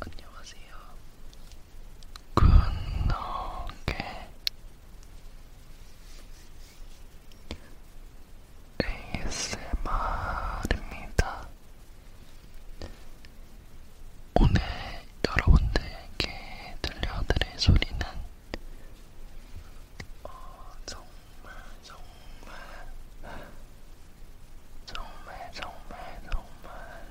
안녕하세요. 굿노게 ASMR입니다. 오늘 여러분들께 들려드릴 소리는 어, 정말 정말 정말 정말 정말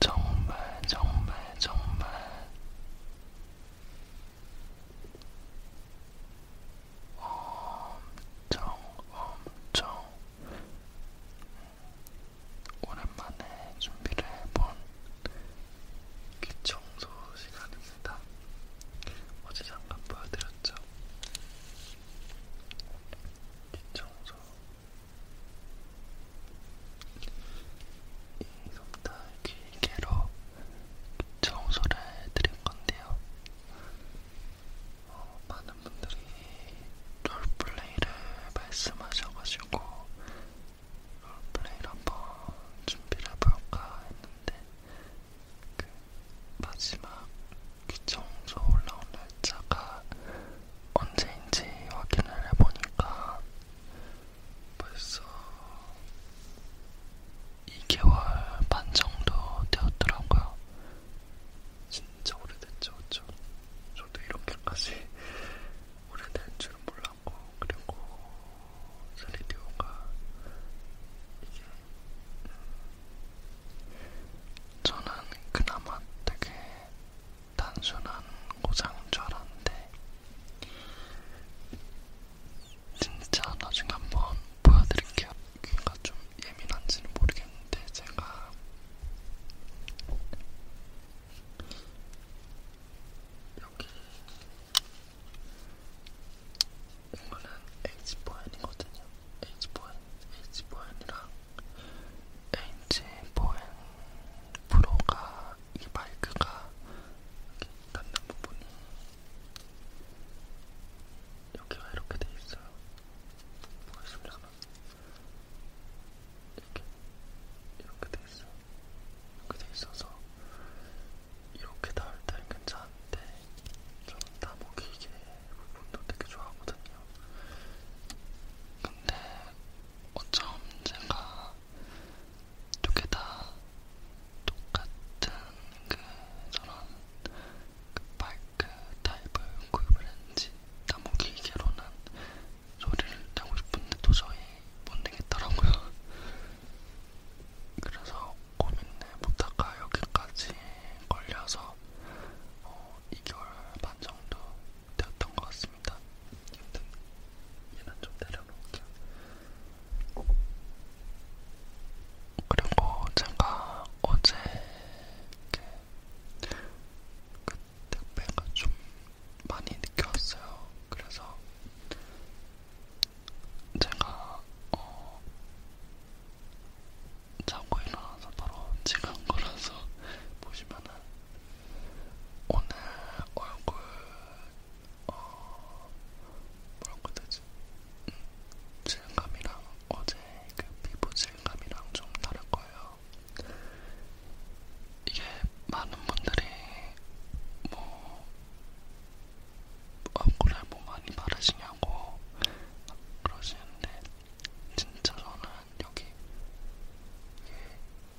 정말 정말 정말 엄청 엄청 오랜만에 준비를 해본 귀청소 시간입니다. 어제 잠깐 보여드렸죠? 기청소 이섭다 길게로 청소를 해드릴 건데요. 어, 많은 분들이 롤플레이를 말씀하셔가지고 롤플레이를 한번 준비를 해볼까 했는데 그 마지막 귀청소 올라온 날짜가 언제인지 확인을 해보니까 벌써 2개월 반 정도 되었더라고요. 진짜 오래됐죠, 그쵸? 저도 이렇게까지 오래된 줄은 몰랐고, 그리고 스리디오가 이게 음, 저는 그나마 되게 단순한 고장인 줄 알았는데 진짜 나중에 한번 보여드릴게요. 귀가 좀 예민한지는 모르겠는데 제가 여기 이거는 H보엔이거든요. H보엔, H보엔이랑 H보엔 프로가 이 마이크가 이렇게 닿는 부분이 여기가 이렇게 돼 있어요. 보이시려나? 이렇게 이렇게 돼 있어. 이렇게 돼 있어서 이렇게 닿을 때는 괜찮은데 좀 나무 길게 운동 되게 좋아하거든요. 근데 어쩜 제가 두 개 다 똑같은 그 저런 그 바이크 타입을 구입을 했는지 나무 기계로는 소리를 내고 싶은데 도저히 못 내겠더라고요. 그래서 고민내 보다가 여기까지 걸려서 어, 2개월 반 정도 되었던 것 같습니다. 여튼 얘는 좀 내려놓을게요. 그리고 제가 어제 그 택배가 좀 많이 늦게 왔어요. 그래서 제가 어 자고 일어나서 바로 찍은 거라서 보시면은 오늘 얼굴 어 뭐라고 되지? 음, 질감이랑 어제 그 피부 질감이랑 좀 다를 거예요. 이게 많은 분들이 뭐 얼굴에 뭐 많이 바르시냐 하냐고 그러시는데 진짜 저는 여기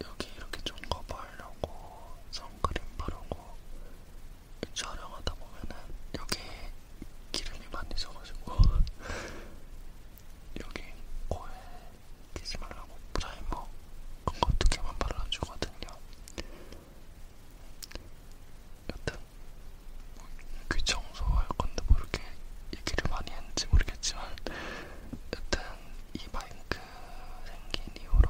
여기 이렇게 좀 커버하려고 선크림 바르고 촬영하다 보면은 여기 기름이 많이 져가지고 여기 코에 끼지 말라고 프라이머 그거 두 개만 발라주거든요. 여튼 귀 그 청소할 건데 뭐 이렇게 얘기를 많이 했는지 모르겠지만 여튼 이 마이크 생긴 이후로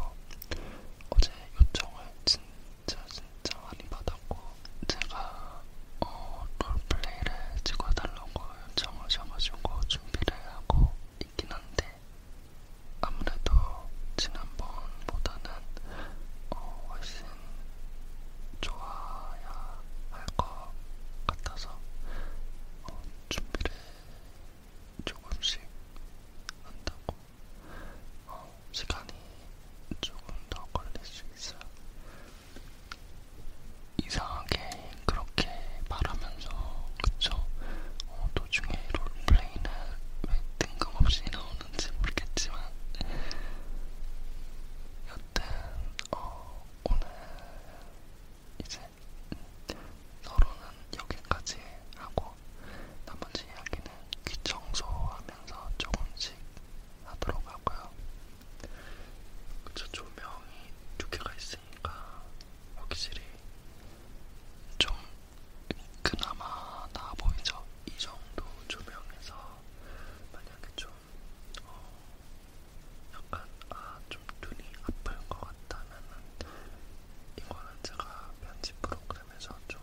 어제 요청을 진짜 진짜 많이 받았고 제가 어, 롤플레이를 찍어달라고 요청을 줘가지고 준비를 하고 있긴 한데 아무래도 지난번보다는 어, 훨씬 좋아야 할 것 같아서 어, 준비를 조금씩 한다고 어, 시간이 조금 더 걸릴 수 있어요. 이상하게 그렇게 말하면서 그쵸? 어, 도중에 롤플레이는 왜 뜬금없이 나오는 없는지 모르겠지만 여튼 어, 오늘 이제 서로는 여기까지 하고 나머지 이야기는 귀 청소하면서 조금씩 하도록 하고요. 그쵸 조명이 두 개가 있으니까 확실히 좀 그나마 나아 보이죠? 이 정도 조명에서 만약에 좀 어, 약간 아 좀 눈이 아플 것 같다면은 이거는 제가 편집 프로그램에서 좀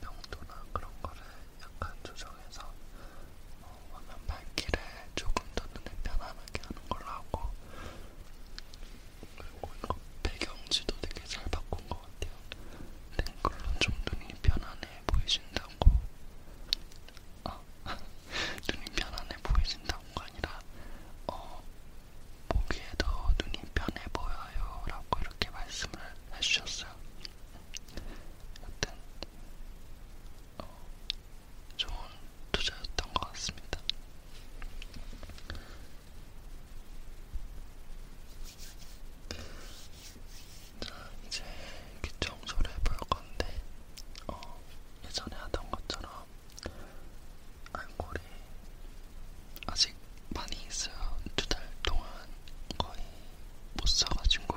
명도나 그런 거를 약간 조정해서 어, 화면 밝기를 조금 더 눈에 편안하게 하는 걸로 하고 그리고 이거 배경지도 되게 잘 바꾼 것 같아요. 랭클론 좀 눈이 편안해 보이신다고 아 눈이 편안해 보이신다고가 아니라 어 보기에도 눈이 편해 보여요 라고 이렇게 말씀을 해주셨어요 여튼 어, 좋은 투자였던 것 같습니다 자, 이제 귀 청소를 해볼 건데, 어, 예전에 하던 것처럼 알콜이 아직 많이 있어요. 두달 동안 거의 못 써가지고.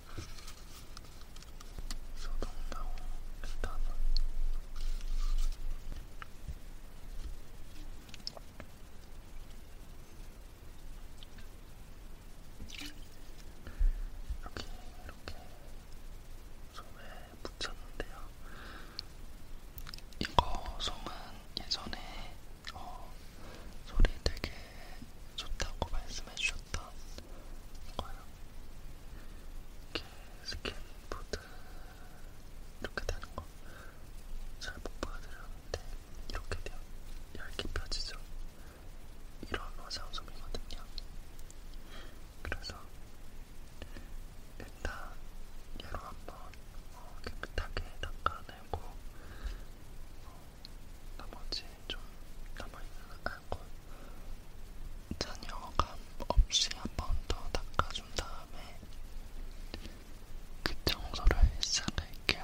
소동나무 일단은 여기 이렇게 손에 붙였는데요. 이거 송은 예전에 어, 소리 되게 좋다고 말씀 말씀해주셨던 거예요. 이렇게 스킨보드 이렇게 되는 거 잘 못 보여드렸는데 이렇게 돼요. 얇게 펴지죠. 이런 화장솜이거든요. 그래서 일단 얘로 한번 어, 깨끗하게 닦아내고 어, 나머지 좀 남아있는 알콜 아, 잔여감 없이 한 번 더 닦아준 다음에 그 청소를 시작할게요.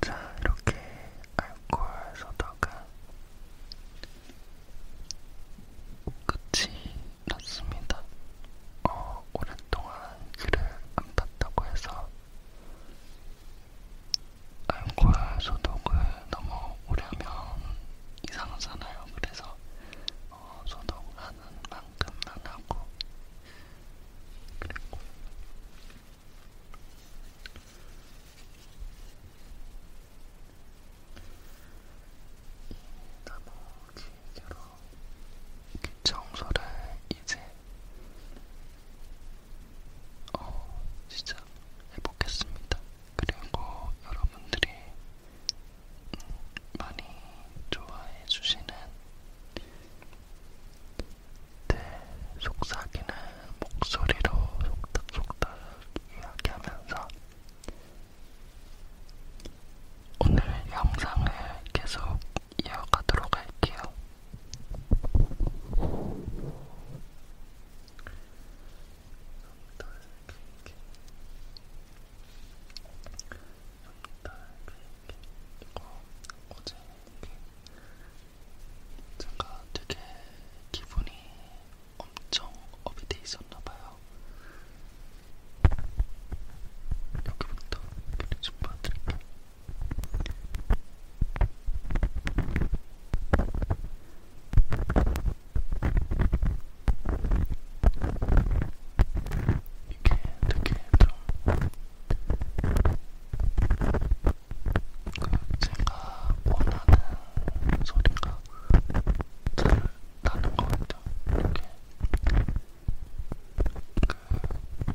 자, 이렇게 알코올 소다가 끝이 났습니다. 어, 오랫동안 귀를 안 탔다고 해서 알코올 소독을 너무 오래 하면 이상하잖아요. 그래서 어, 소독하는 만큼만 하고 그랬고 이 나머지 여러 청소를 이제 어, 진짜 해보겠습니다. 그리고 여러분들이 많이 좋아해 주시는 내 속삭이는 목소리로 속닥속닥 이야기하면서 오늘 영상을 계속 이어가도록 할게요. 여기다 이렇게 이거 어제 이렇게 제가 되게 기분이 엄청 업이 돼 있었나봐요. 여기부터 그림 좀 봐드릴게요. 이렇게 이게 되게 좀 제가 원하는 소리가 잘 나는 것 같아요. 이렇게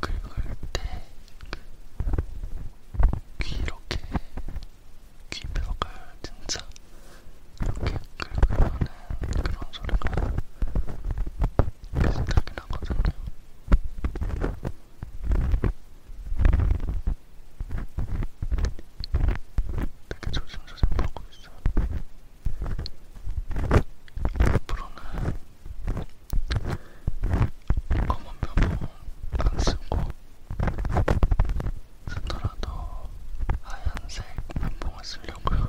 그 긁을 때귀 그 이렇게 귀벽을 진짜 이렇게 긁으면 그런 소리가 생각이 나거든요. 되게 조심조심 보고 있어. 앞으로는 검은 면안 쓰고 쓰더라도 하얀색 면봉을 쓰려고요.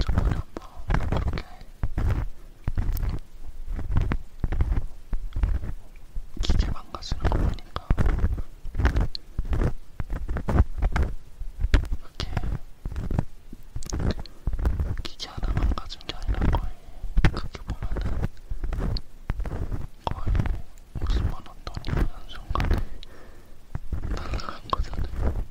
저번에 한번 그렇게 기계 망가지는 거 보니까 이렇게 기계 하나 망가진 게 아니라 거의 그게 보면은 거의 50만원 돈이 한순간에 날라간 거잖아요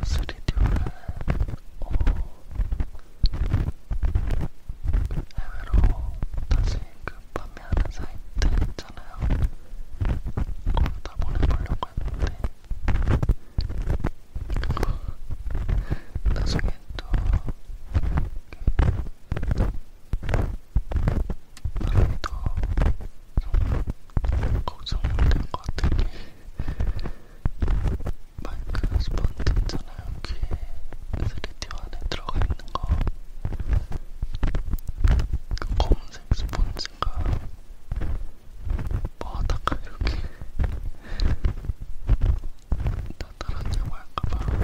3D로는 어, 해외로 다시 그 판매하는 사이트 있잖아요. 거기다 보내보려고 했는데 그거 나중에 또 나름도 그, 좀 걱정이 된것 같은 게 마이크 스펀드 있잖아요. 귀에 3D 안에 들어가 있는 거. 그 검은색 스펀지가 바닥 이렇게 다 떨어지고 할까봐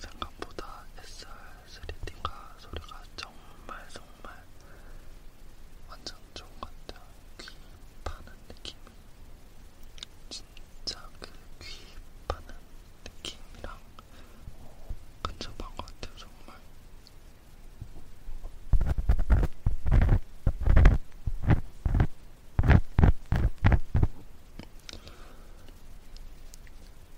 생각보다 했어요. 3D가 소리가 정말 정말 완전 좋은 것 같아요. 귀 파는 느낌이 진짜 그귀 파는 느낌이랑 오, 어, 근접한 것 같아요. 정말.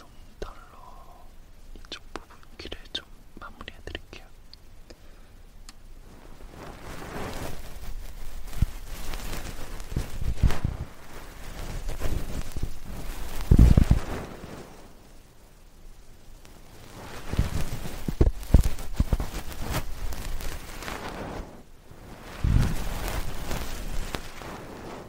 롱털로 이쪽 부분 귀를 좀 마무리해드릴게요. 자,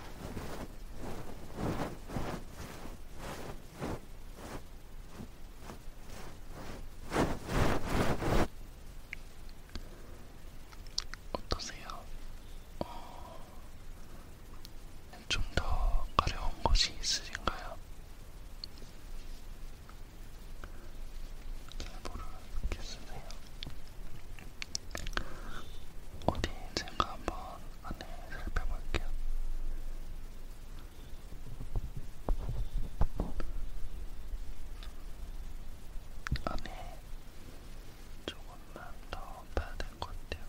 어떠세요? 어... 좀더 가려운 곳이 있으신가요? 잘 모르겠으세요? 어디인지 한번 안에 살펴볼게요. 안에 조금만 더 봐야 될 것 같아요.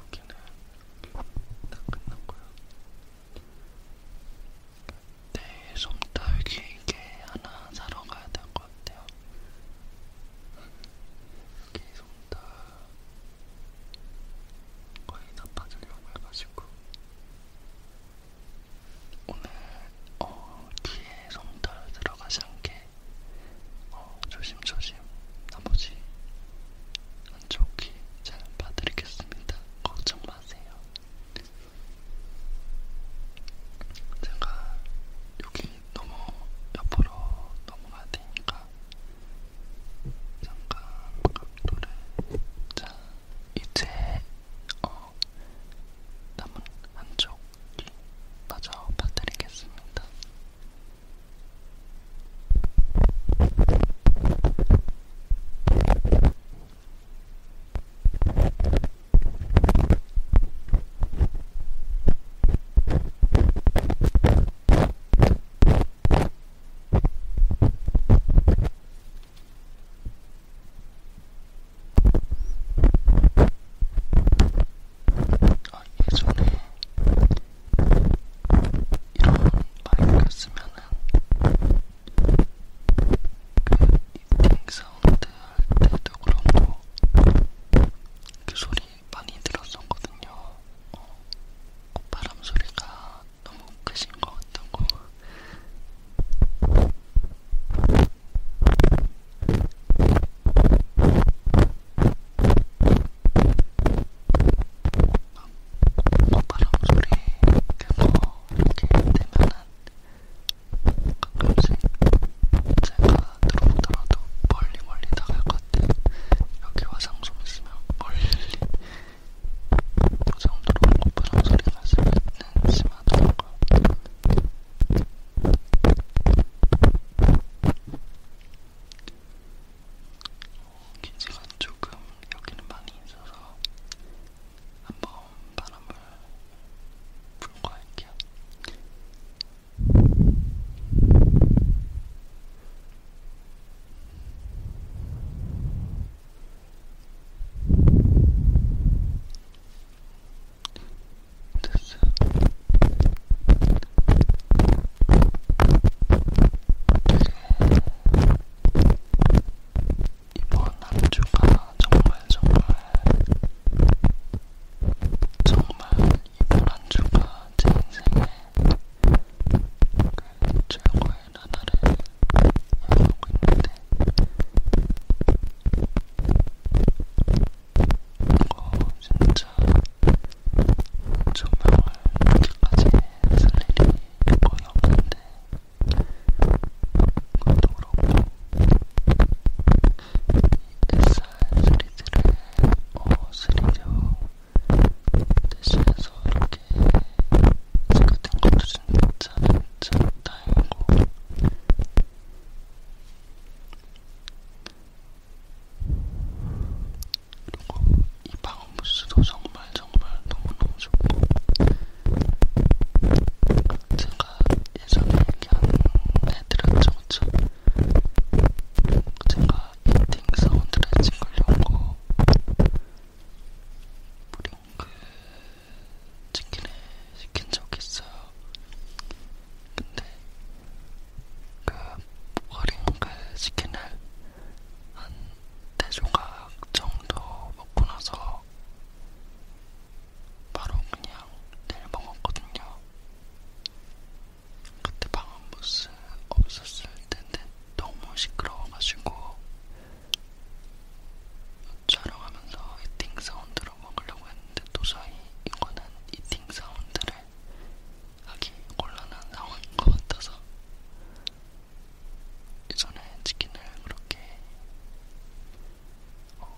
여기는 다 끝났고요. 내 네, 솜따위기 이게 하나 사러 가야 되고 것 같아요. 계속 다 거의 다 빠지려고 해가지고 오늘 어, 뒤에 솜털 들어가지 않게 어, 조심조심 나머지 한쪽 귀잘 봐드리겠습니다. 걱정 마세요. 제가 여기 너무 옆으로 넘어가야 되니까 잠깐 각도를 자 이제 어 남은 한쪽이 마저 봐드리겠습니다. 아, 예전에 이런 마이크를 쓰면은 그 이팅 사운드 할 때도 그렇고 그 소리 많이 들었었거든요. 어, 콧바람 소리가 너무 크신 것 같다고. 막 콧바람 소리, 그거 뭐 이렇게 되면은 가끔씩 제가 들어오더라도 멀리 멀리 나갈 것 같아요. 여기 화장솜 있으면 멀리 도장 들어온 것보다 소리가 났으면 심하더라고요. 기지가 어, 조금 여기는 많이 있어서 한번 바람을 불과할게요. 됐어. 이번 한 주가 정말 정말 정말 이번 한 주가 제 인생의 그 최고의 나날을 향하고 있는데 이거 진짜 조명을 이렇게까지 쓸 일이 거의 없는데 그것도 그렇고 뱃살 소리들을 어스리로 대신해서 이렇게 찍었던 것도 진짜 진짜 다행이고 그리고 이 방음부스도 정말 정말 너무너무 좋고 같은 아까 예전에 얘기한애들은죠 그쵸? 제가 이팅 사운드를 찍으려고 브링크 그 치킨을 시킨 적이 있어요. 근데 그 브링크 치킨을 한 4조각 정도 먹고 나서 바로 그냥 내일 먹었거든요. 그때 방음부스 없었을 텐데 너무 시끄러워가지고 촬영하면서 이팅 사운드로 먹으려고 했는데 도저히 이거는 이팅 사운드를 하기 곤란한 상황인 것 같아서 예전에 치킨을 그렇게 어,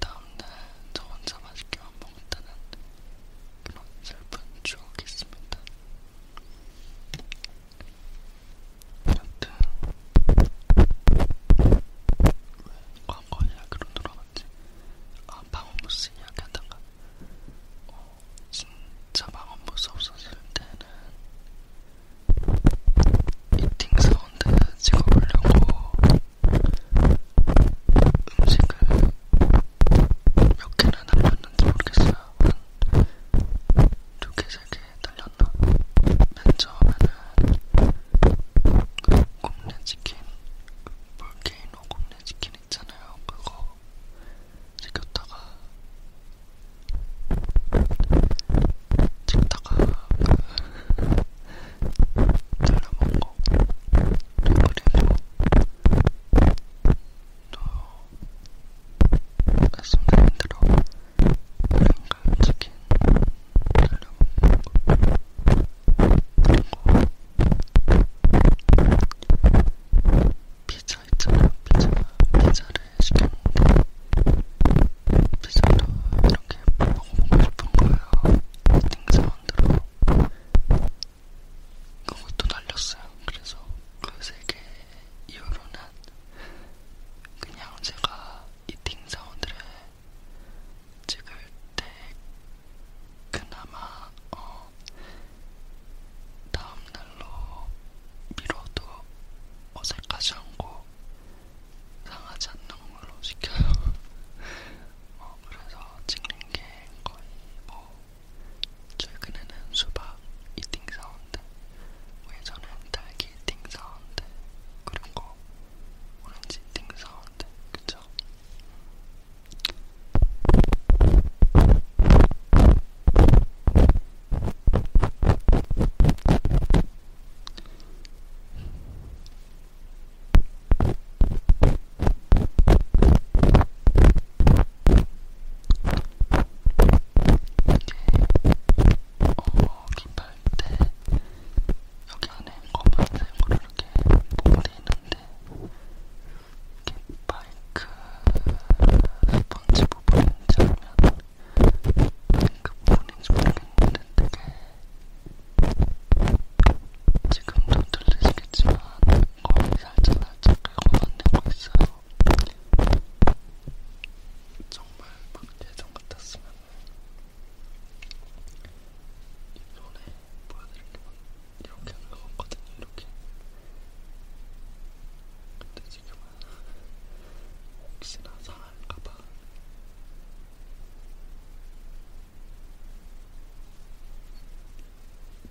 다음날 저 혼자 맛있게만 먹었다는 그런 슬픈 추억이 있습니다. 여튼 왜 광고 이야기로 돌아갔지? 아 방언부스 이야기한단가? 어, 진짜 방언부스 없었을 때는 이팅 사운드 찍어보려고 음식을 몇 개나 날렸는지 모르겠어요. 두 개, 세개 날렸나? 맨 처음에는 굽네치킨, 볼케이노 굽네치킨 있잖아요. 그거 시켰다가 찍다가 그 잘라먹고 그리고 또 말씀드린 대로 양념치킨 잘라먹고 그리고 피자 있잖아 피자 피자를 시켰는데 피자도 이렇게 먹고 뭐 먹고 싶은 거예요. 스팅 사운드로. 그것도 날렸어요. 그래서 그세개 이후로는 그냥 제가 이팅 사운드를 찍을 때 그나마 어 다음날로 미뤄도 어색하지 않고 상하지 않는 걸로 시켜요. 어, 그래서 찍는 게 거의 뭐 최근에는 수박 이팅 사운드, 뭐 예전엔 딸기 이팅 사운드, 그리고 오렌지 이팅 사운드, 그쵸? 어, 깃발 때 여기 안에 검은색으로 이렇게 볼이 있는데 이렇게 마이크 스펀지 부분인지 아니면 탱크 부분인지 모르겠는데 되게 지금도 들리시겠지만 거의 살짝 살짝 긁어내고 있어요. 정말 막 예전 같았으면 이 손에 보여드리면 이렇게 하는 거거든요. 이렇게. 근데 지금은 혹시나 상할까봐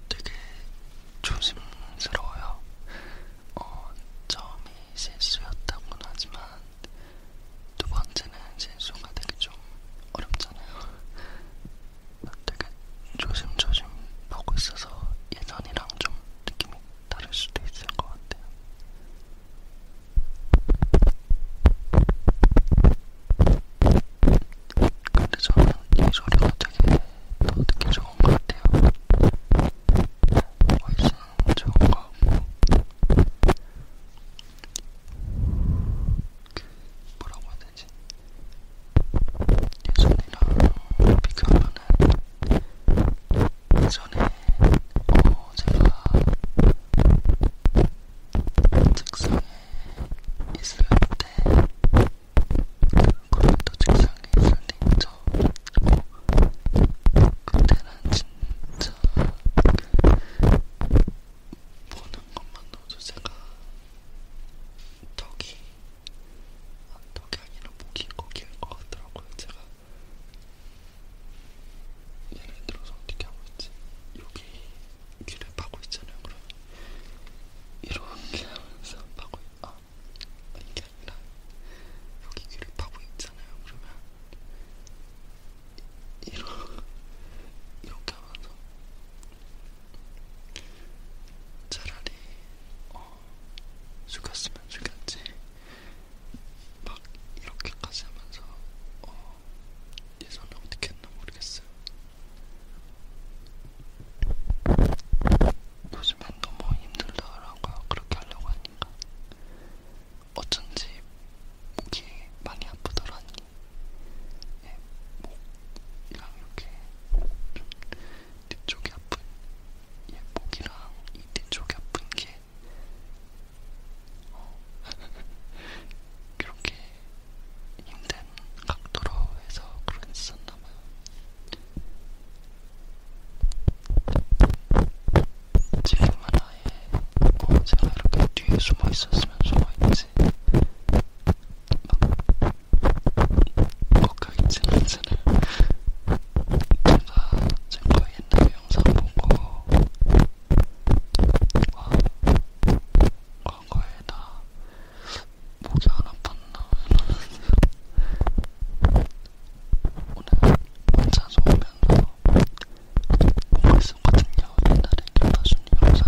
되게 조심스러워요. 어, 처음이 실수였다고는 하지만 두 번째는 실수가 되게 좀 어렵잖아요. 되게 조심조심 보고 있어서 예전이랑 좀 느낌이 다를 수도 있을 것 같아요. 근데 저는 이 소리가 되게 더 듣기 좋은 것 같아요. 훨씬 좋은 것 같고. 뭐라고 해야 되지? 예전이랑 비교하면은 예전에 어 제가 책상에 있을 때 그걸도 책상에 있을 때 있죠. 그때는 진짜 보는 것만으로도 제가 덕이 아, 덕이 아니라 목이 꺾이는 것 같더라고요. 제가 예를 들어서 어떻게 하고 있지? 여기 귀를 파고 있잖아요. 그러면 이렇게 하면서 파고 있... 아, 이게 아니라 여기 귀를 파고 있잖아요. 그러면 이러, 이렇게 하면서 차라리 어, 숙였으면 숙였지 막 이렇게까지 하면서 어, 예선을 어떻게 했나 모르겠어요. 요즘엔 너무 힘들더라고요. 그렇게 하려고 하니까. 어쩐지 목이 많이 아프더라니. 예, 목이랑 이렇게 좀 뒤쪽이 아픈, 예, 목이랑 이 뒤쪽이 아픈 게 그렇게 힘든 각도로 해서 그랬었나봐요. 지금은 아예 뭐 제가 이렇게 뒤에 숨어 있었으면 숨어 있지 막 꺾여 있지는 않잖아요. 제가 제 거의 옛날 영상 보고 과거에나 목이 안 아팠나 이러면서 오늘 혼자 좋으면서 보고 있었거든요. 옛날에 김다준이 영상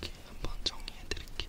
여기 한번 정리해 드릴게요.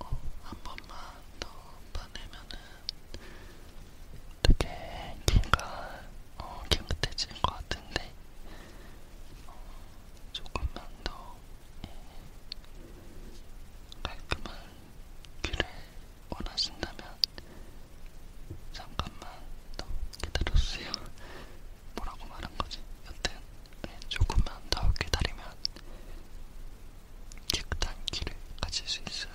어, 한 번만 더 파내면은 되게 귀가 어, 깨끗해질 것 같은데 어, 조금만 더 깔끔한 귀를 원하신다면 잠깐만 더 기다려주세요. 뭐라고 말한 거지? 여튼 네, 조금만 더 기다리면 깨끗한 귀를 가질 수 있어요.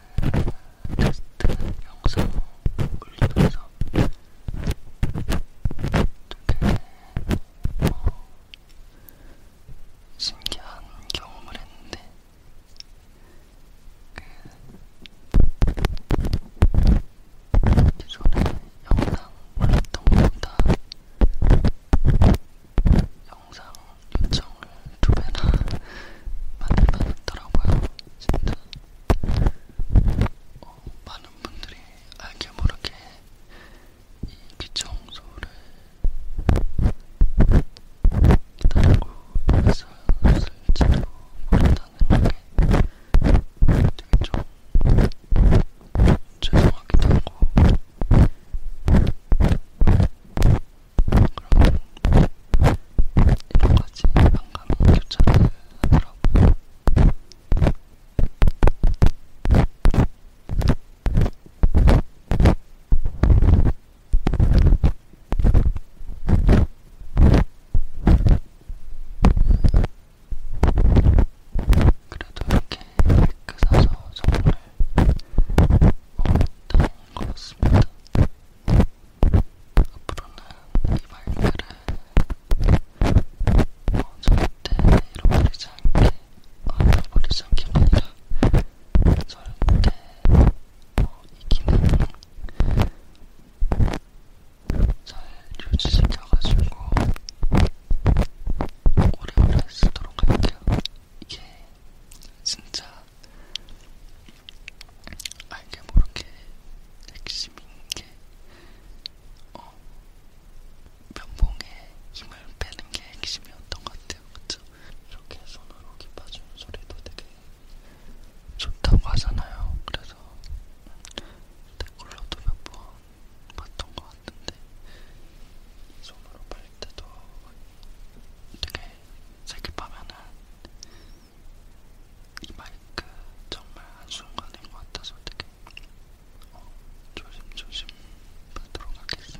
테스트 영상 올리면서 되게 어, 신기한 경험을 했는데 그 기존에 영상 올렸던 것보다 영상 요청을 두 배나 많이 받았더라고요. 진짜 어, 많은 분들이 알게 모르게 이 귀청소를 기다리고 있었을지도 모른다는 게 되게 좀 죄송하기도 하고 그런 여러 가지 반감 교차를 하더라고요. 그래도 이렇게 그 사서 정말 어렵다. 그렇습니다. 앞으로는 이 말들을 어, 절대 잃어버리지 않게, 아, 잃어버리지 않게가 아니라 절대 어, 이 기능을 잘 유지시켜가지고 오래오래 쓰도록 할게요. 이게 진짜 알게 모르게 핵심인 게 어, 면봉에 힘을 빼는 게 핵심이었던 것 같아요. 그쵸? 이렇게 손으로 기 빠지는 소리도 되게 좋다고 하잖아요. 그래서 댓글로도 몇 번 봤던 것 같은데 이 손으로 때도 되게 생각하면은 이 마이크 정말 한순간인 것 같아서 되게 어, 조심조심 받도록 하겠습니다.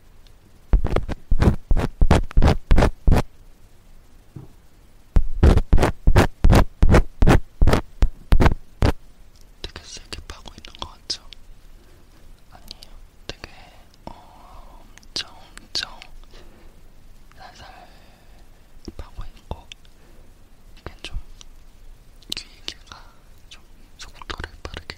되게 세게 파고 있는 것 같죠? 아니에요. 되게 어, 엄청 엄청 살살 파고 있고 이게 좀귀 길이가 좀 속도를 빠르게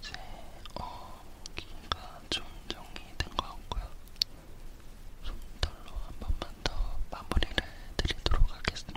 이제 어, 귀가 좀 정리된 것 같고요. 손털로 한 번만 더 마무리를 해드리도록 하겠습니다.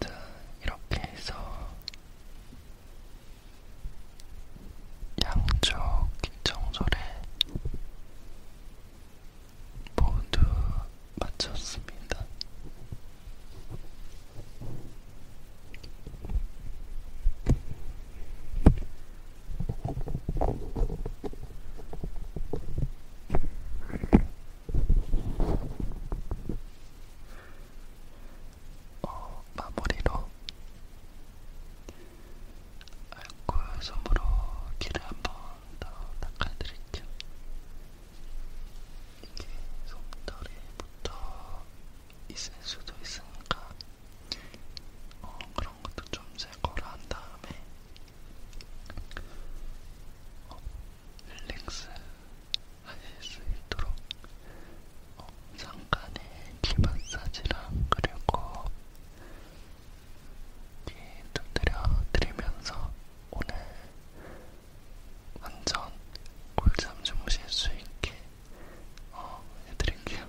자, 이렇게 해서 양쪽 정절에 모두 마쳤습니다. 어, 마무리로 알코올 솜으로 귀를 한 번 더 닦아드릴게요. 이게 솜털이 붙어 있을 수도 있으니까 어, 그런 것도 좀 제거를 한 다음에 어, 릴렉스 하실 수 있도록 어, 잠깐의 귀 마사지랑 그리고 귀 두드려 드리면서 오늘 완전 꿀잠 주무실 수 있게 어, 해드릴게요.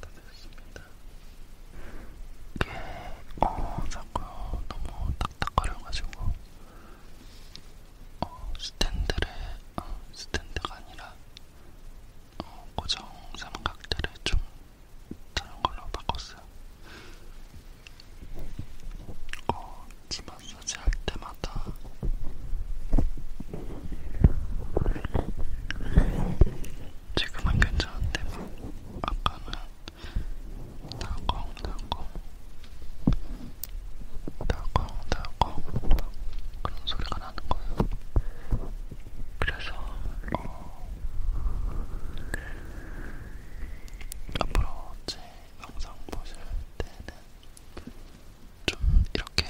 다 됐습니다. 이게 어 자꾸 너무 딱딱거려가지고 어, 스탠드를 어, 스탠드가 아니라 어, 고정 삼각대를 좀 다른 걸로 바꿨어요. 어, 지 마사지 할 때만 때마다 지금은 괜찮은데 막 아까는 나공나공 나공나공 그런 소리가 나는 거예요. 그래서 어, 앞으로 제 영상 보실 때는 좀 이렇게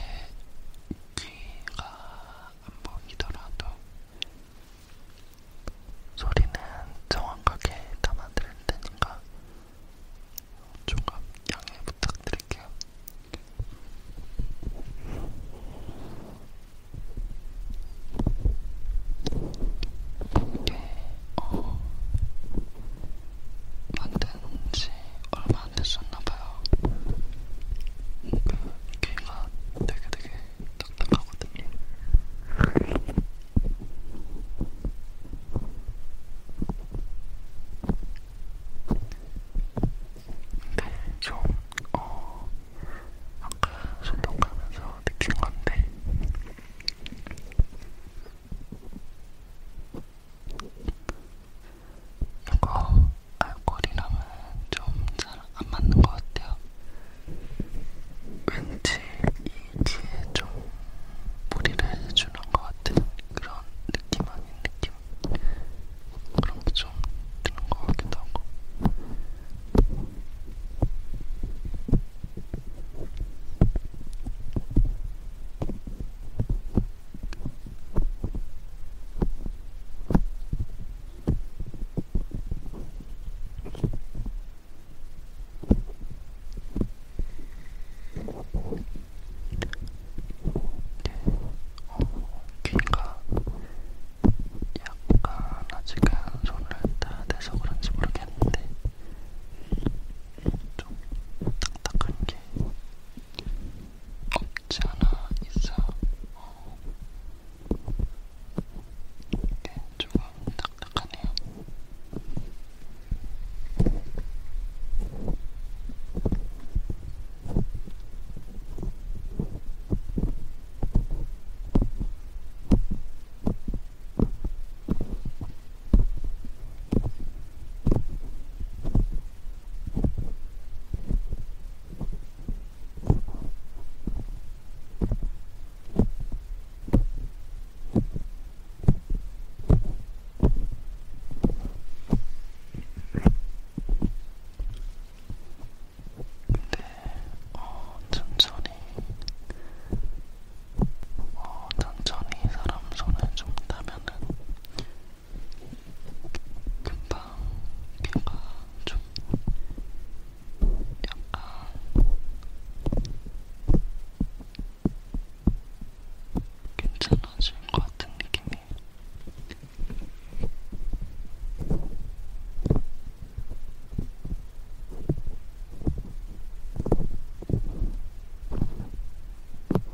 귀가 안 보이더라도 소리는 정확하게 담아드릴 테니까 조금 양해 부탁드릴게요. 이게 어 만든 지 얼마 얼마 안 됐었나봐요. 그 귀가 되게 되게 딱딱하거든요. 근데 좀, 어, 아까 손동 가면서 느낀 건데, 이거 알콜이랑은 좀잘 안 맞는 것 같아요. 왠지 이 귀에 좀 무리를 해주는 것 같은 그런 느낌 아닌 느낌 그런 게좀 드는 것 같기도 하고. 귀가 약간 아직은 손을 다 대서 그런지 모르겠는데 좀 딱딱한 게 없지 않아 있어. 어. 이게 조금 딱딱하네요. 음, 근데 어, 천천히 어, 천천히 사람 손을 좀 타면은 금방 귀가 좀 약간 괜찮아질 것 같은 느낌이에요.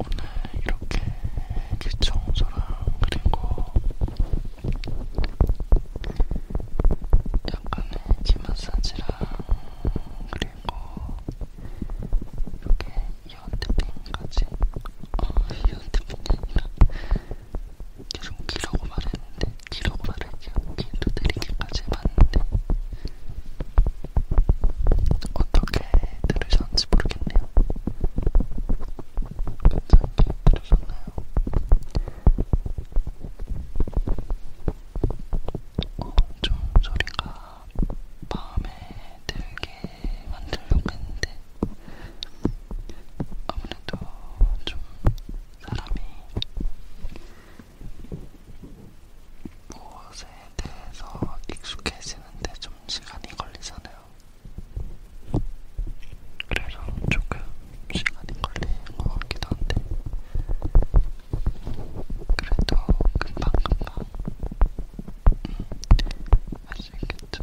오늘 이렇게 귀청소랑 그리고 약간의 귀마사지랑 그리고 이렇게 이어탭핑까지 어 이어탭핑이 아니라 계속 길라고 말했는데 길라고 말할게요. 길도 내리기까지 봤는데 어떻게 들으셨는지 모르겠네요. 괜찮게 들으셨나요? 어, 좀 소리가 마음에 들게 만들려고 했는데 아무래도 좀 사람이 무엇에 대해서 익숙해지는데 좀 시간이 걸리잖아요. 그래서 조금 시간이 걸리는 것 같기도 한데, 그래도 금방금방 음, 할수 있겠죠.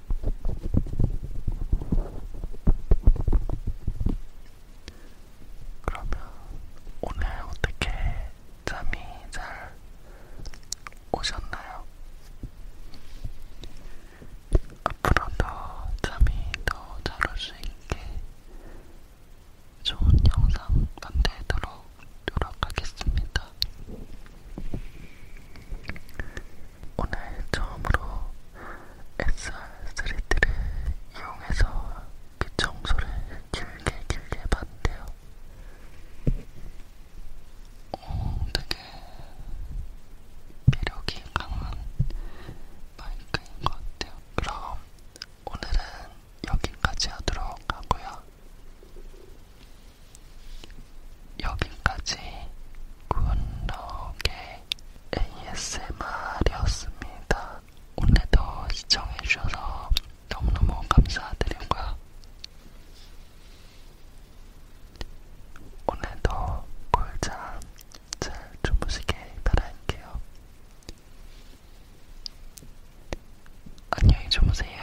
그러면 오늘 어떻게 잠이 잘 오셨나요? 앞으로도 잠이 더 잘 올 수 있게 좋은 영상 만들도록 노력하겠습니다. 오늘 처음으로 SR3D를 이용해서 귀청소를 길게 길게 봤는데요. 어, 되게 매력이 강한 마이크인 것 같아요. 그럼 오늘은 여기까지 하도록 하고요. 여기까지 굿럭의 ASMR이었습니다. 오늘도 시청해주셔서 너무너무 감사드리고요. 오늘도 꿀잠 잘 주무시길 바랄게요. 안녕히 주무세요.